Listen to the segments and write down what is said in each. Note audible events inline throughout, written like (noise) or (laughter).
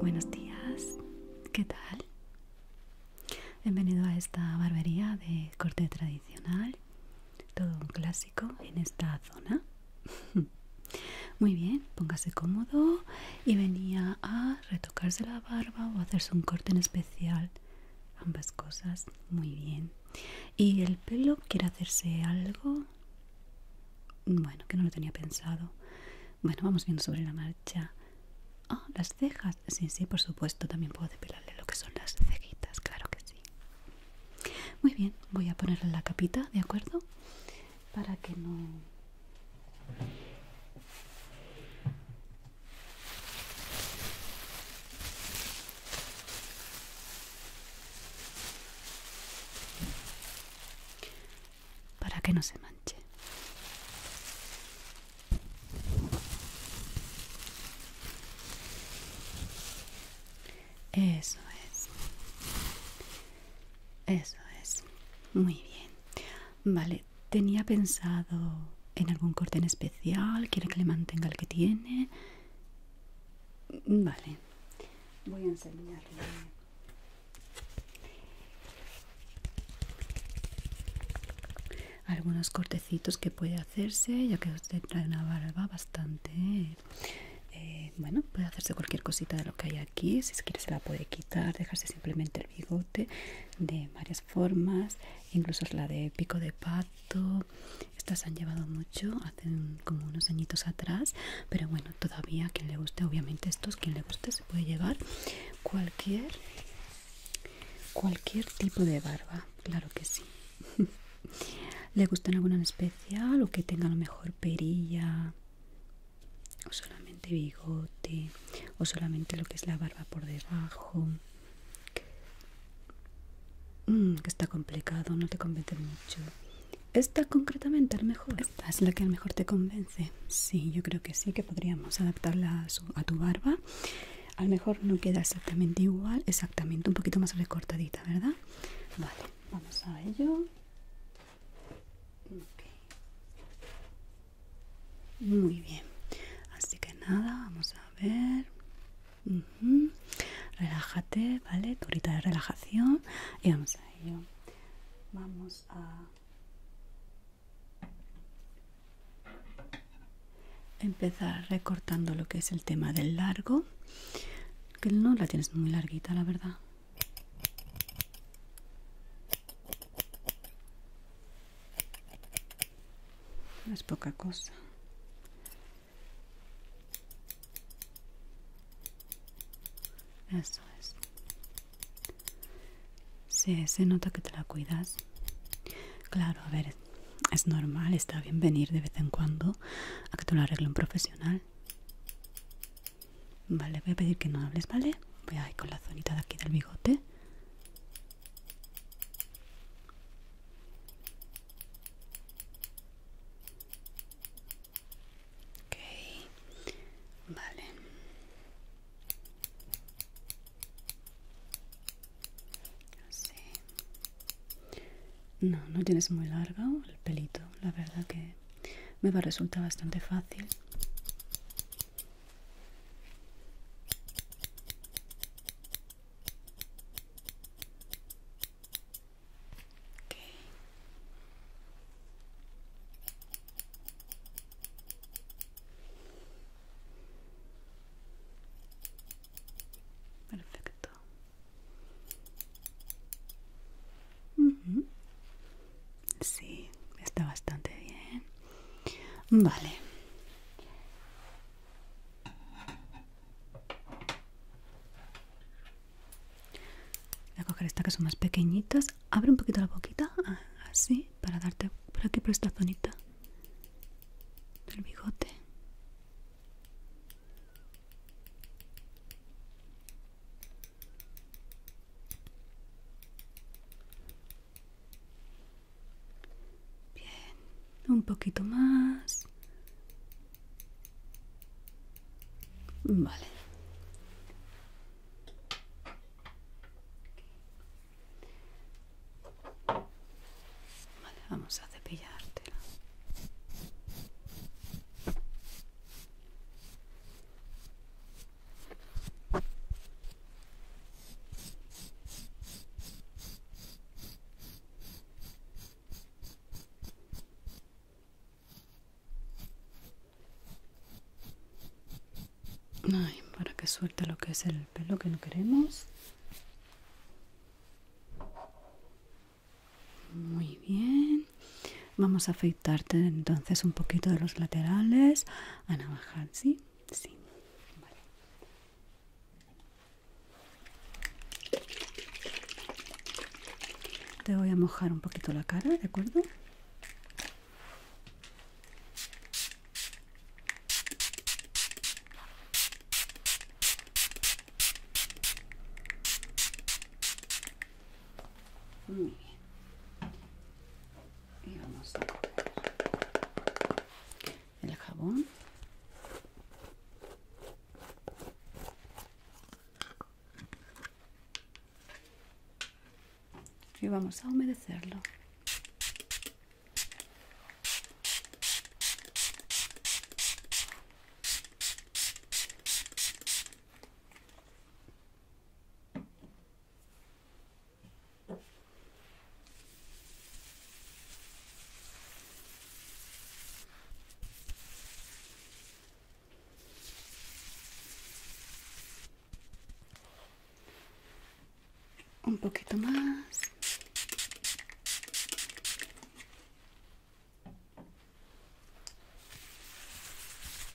Buenos días, ¿qué tal? Bienvenido a esta barbería de corte tradicional, todo un clásico en esta zona. (laughs) Muy bien, póngase cómodo y venía a retocarse la barba o hacerse un corte en especial. Ambas cosas, muy bien. ¿Y el pelo quiere hacerse algo? Bueno, que no lo tenía pensado. Bueno, vamos viendo sobre la marcha. Ah, las cejas. Sí, sí, por supuesto, también puedo depilarle lo que son las cejitas, claro que sí. Muy bien, voy a ponerle la capita, ¿de acuerdo? Para que no para que no se manche. Eso es. Eso es. Muy bien. Vale, tenía pensado en algún corte en especial. ¿Quiere que le mantenga el que tiene? Vale, voy a enseñarle. Algunos cortecitos que puede hacerse, ya que usted trae una barba bastante. Eh, bueno, puede hacerse cualquier cosita de lo que hay aquí. Si quiere, se la puede quitar, dejarse simplemente el bigote de varias formas, incluso la de pico de pato, estas han llevado mucho hace como unos añitos atrás pero bueno todavía quien le guste obviamente estos quien le guste se puede llevar cualquier cualquier tipo de barba claro que sí (laughs) le gustan alguna en especial o que tenga a lo mejor perilla o solamente bigote o solamente lo que es la barba por debajo Mm, que está complicado, no te convence mucho. Esta concretamente, lo mejor. Esta es la que lo mejor te convence. Sí, yo creo que sí, que podríamos adaptarla a, tu barba. A lo mejor no queda exactamente igual, exactamente, un poquito más recortadita, ¿verdad? Vale, vamos a ello. Muy bien, así que nada, vamos a a ver. Relájate, ¿vale? Turita de relajación. Y vamos a ello. Vamos a empezar recortando lo que es el tema del largo. Que no la tienes muy larguita, la verdad es poca cosa. Eso es. Sí, se nota que te la cuidas. Claro, a ver, es normal, está bien venir de vez en cuando a que te lo arregle un profesional. Vale, voy a pedir que no hables, ¿vale? Voy a ir con la zonita de aquí del bigote vale. No, no tienes muy largo el pelito, la verdad que me va a resultar bastante fácil. Perfecto. Sí, está bastante bien. Vale. Voy a coger estas que son más pequeñitas. Abre un poquito la boquita, ah, así, para darte por aquí, por esta zonita del bigote. Bien, un poquito más. Vale. vamos a cepillártela para que suelte lo que es el pelo que no queremos. Muy bien. Vamos a afeitarte entonces un poquito de los laterales a navajar, ¿sí? Sí, vale. Te voy a mojar un poquito la cara, ¿de acuerdo? y vamos a el jabón y vamos a humedecerlo un poquito más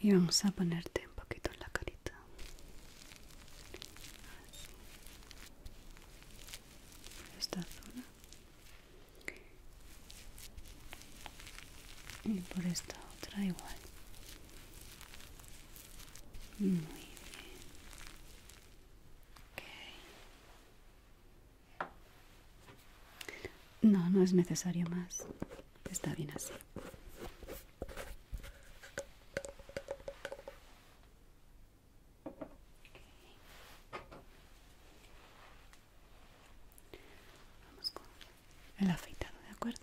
y vamos a ponerte un poquito en la carita Así. esta zona y por esta otra igual muy bien ok no no es necesario más está bien así Vamos con el afeitado, ¿de acuerdo?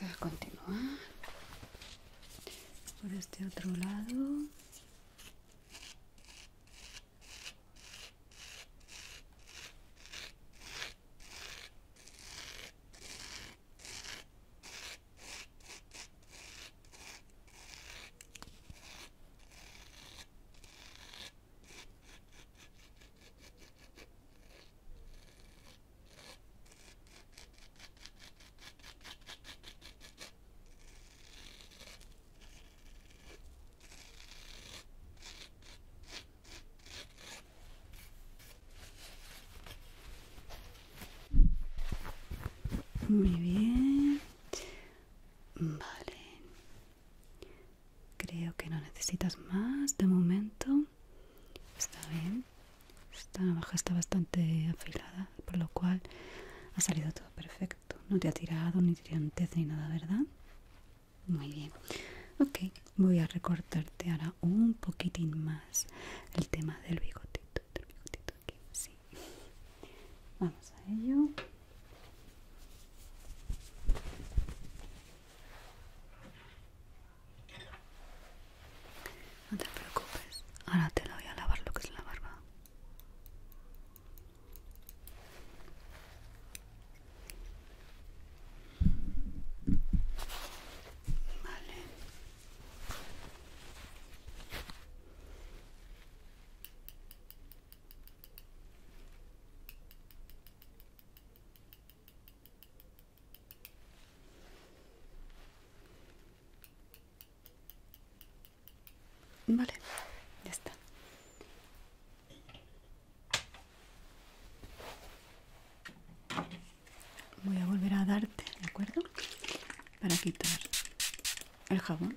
Vamos a continuar por este otro lado. Muy bien. Vale. Creo que no necesitas más de momento. Está bien. Esta navaja está bastante afilada, por lo cual ha salido todo perfecto. No te ha tirado ni tirantes ni nada, ¿verdad? Muy bien. Ok, voy a recortarte ahora un poquitín más el tema del bigotito. Vamos a ello. No te preocupes, ahora te la voy a lavar lo que es la barba. Vale. Vale, ya está. Voy a volver a darte, ¿de acuerdo? Para quitar el jabón.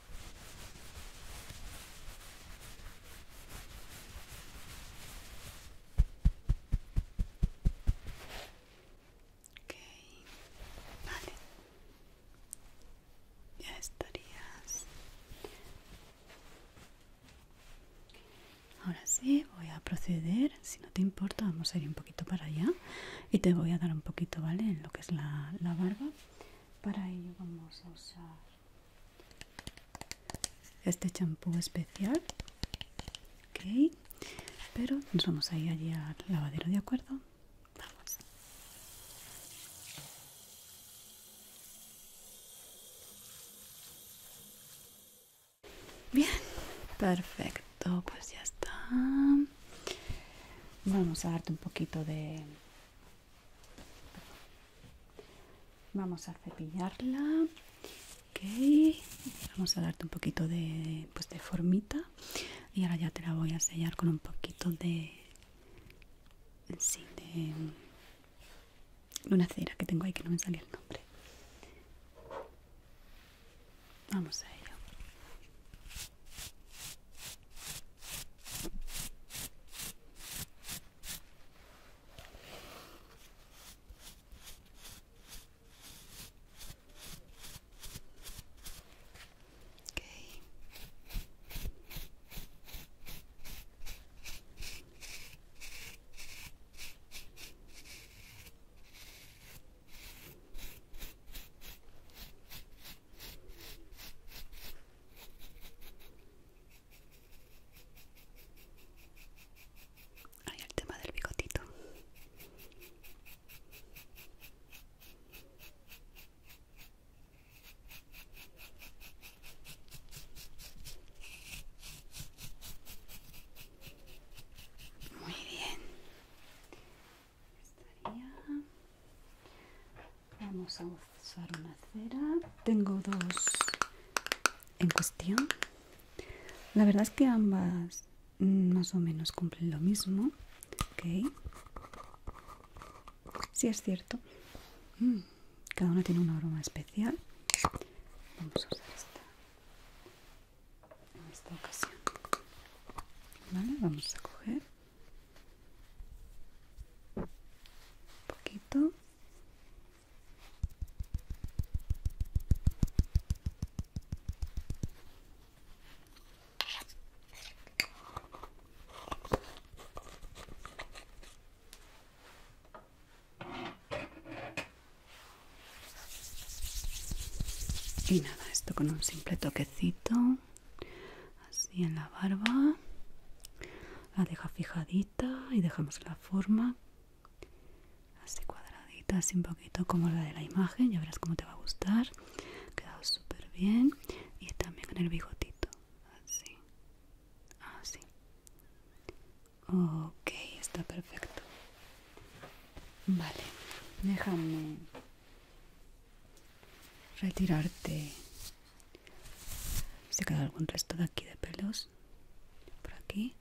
Ok, vale. Ya estarías. Ahora sí, voy a proceder. Si no te importa, vamos a ir un poquito para allá y te voy a dar un poquito, ¿vale? En lo que es la, la barba para ello vamos a usar este champú especial. Ok, pero nos vamos a ir allí al lavadero, ¿de acuerdo? Vamos. Bien, perfecto, pues ya está. Vamos a darte un poquito de... Vamos a cepillarla. Okay. Vamos a darte un poquito de, pues de formita. Y ahora ya te la voy a sellar con un poquito de... Sí, de... Una cera que tengo ahí que no me sale el nombre. Vamos a ello. Okay. Hay el tema del bigotito. Muy bien. Vamos a usar una cera. Tengo dos en cuestión. La verdad es que ambas más o menos cumplen lo mismo. Ok. Sí, es cierto. Mm, cada una tiene una aroma especial. Vamos a usar esta en esta ocasión vale vamos a coger un poquito y nada, esto con un simple toquecito, así en la barba, la deja fijadita y dejamos la forma así cuadradita, así un poquito como la de la imagen, ya verás cómo te va a gustar, queda quedado súper bien. Y también con el bigotito, así, así. Ok, está perfecto. Vale, déjame retirarte se queda algún resto de aquí de pelos por aquí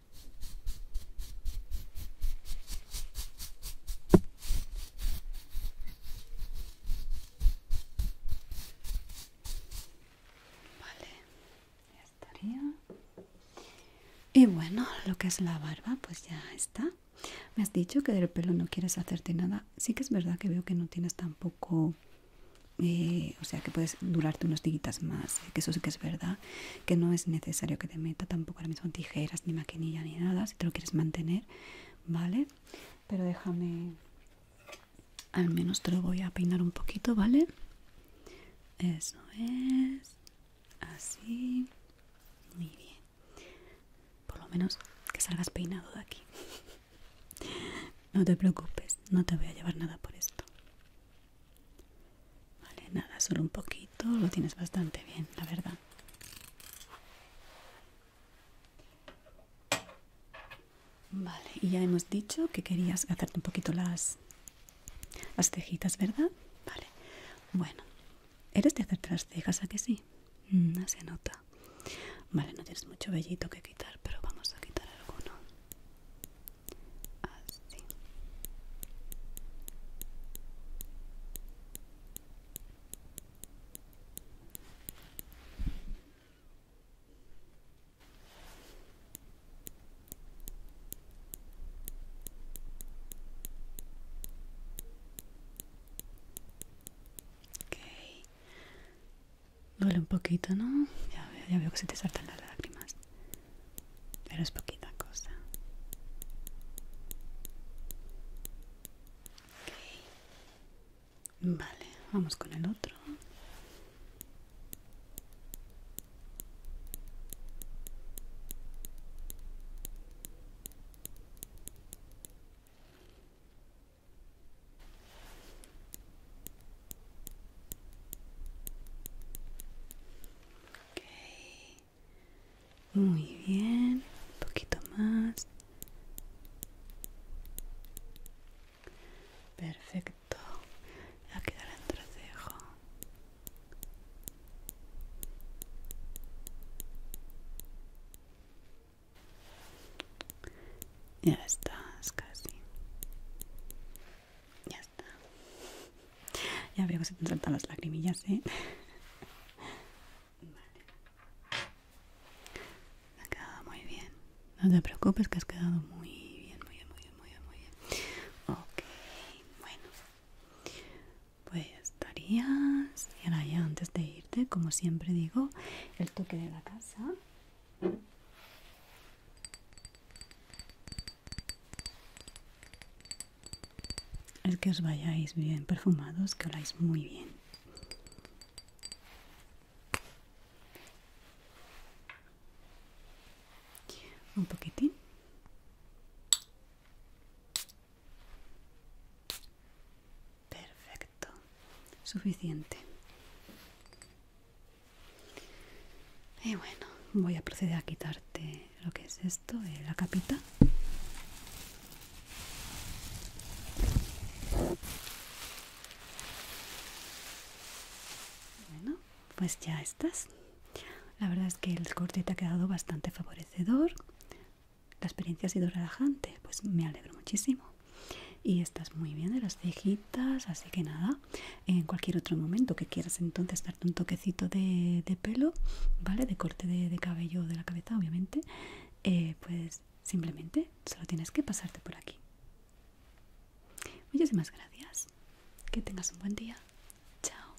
vale ya estaría y bueno lo que es la barba pues ya está me has dicho que del pelo no quieres hacerte nada. Sí que es verdad que veo que no tienes tampoco... Eh, o sea, que puedes durarte unos días más. Eh, que eso sí que es verdad. Que no es necesario que te meta tampoco ahora mismo tijeras, ni maquinilla, ni nada. Si te lo quieres mantener, ¿vale? Pero déjame... Al menos te lo voy a peinar un poquito, ¿vale? Eso es así muy bien por lo menos que salgas peinado de aquí (laughs) no te preocupes no te voy a llevar nada por esto vale nada solo un poquito lo tienes bastante bien la verdad Vale, y ya hemos dicho que querías hacerte un poquito las las cejitas, ¿verdad? Vale. Bueno, eres de hacerte las cejas, ¿a que sí? Mm, no se nota. Vale, no tienes mucho vellito que quitar, pero vamos a quitar alguno. Así. Okay. Duele un poquito, ¿no? Ya veo, ya veo que se te saltan las lágrimas. Pero es poquita cosa. Okay. Vale, vamos con el otro. Okay. Muy bien, un poquito más. Perfecto. Aquí el entrecejo. Ya estás casi. Ya está. Ya veo que se te las lagrimillas, ¿eh? Vale. Ha quedado muy bien. No te preocupes que has quedado muy bien, muy bien, muy bien, muy bien, muy bien. Ok bueno pues estarías y ahora ya antes de irte como siempre digo el toque de la casa Es que os vayáis bien perfumados que habláis muy bien un poquitín perfecto suficiente y bueno voy a proceder a quitarte lo que es esto la capita bueno pues ya estás la verdad es que el corte te ha quedado bastante favorecedor la experiencia ha sido relajante pues me alegro muchísimo y estás muy bien de las cejitas así que nada en cualquier otro momento que quieras entonces darte un toquecito de, pelo vale de corte de, cabello de la cabeza obviamente eh, pues simplemente solo tienes que pasarte por aquí Muchísimas gracias. Que tengas un buen día. Chao.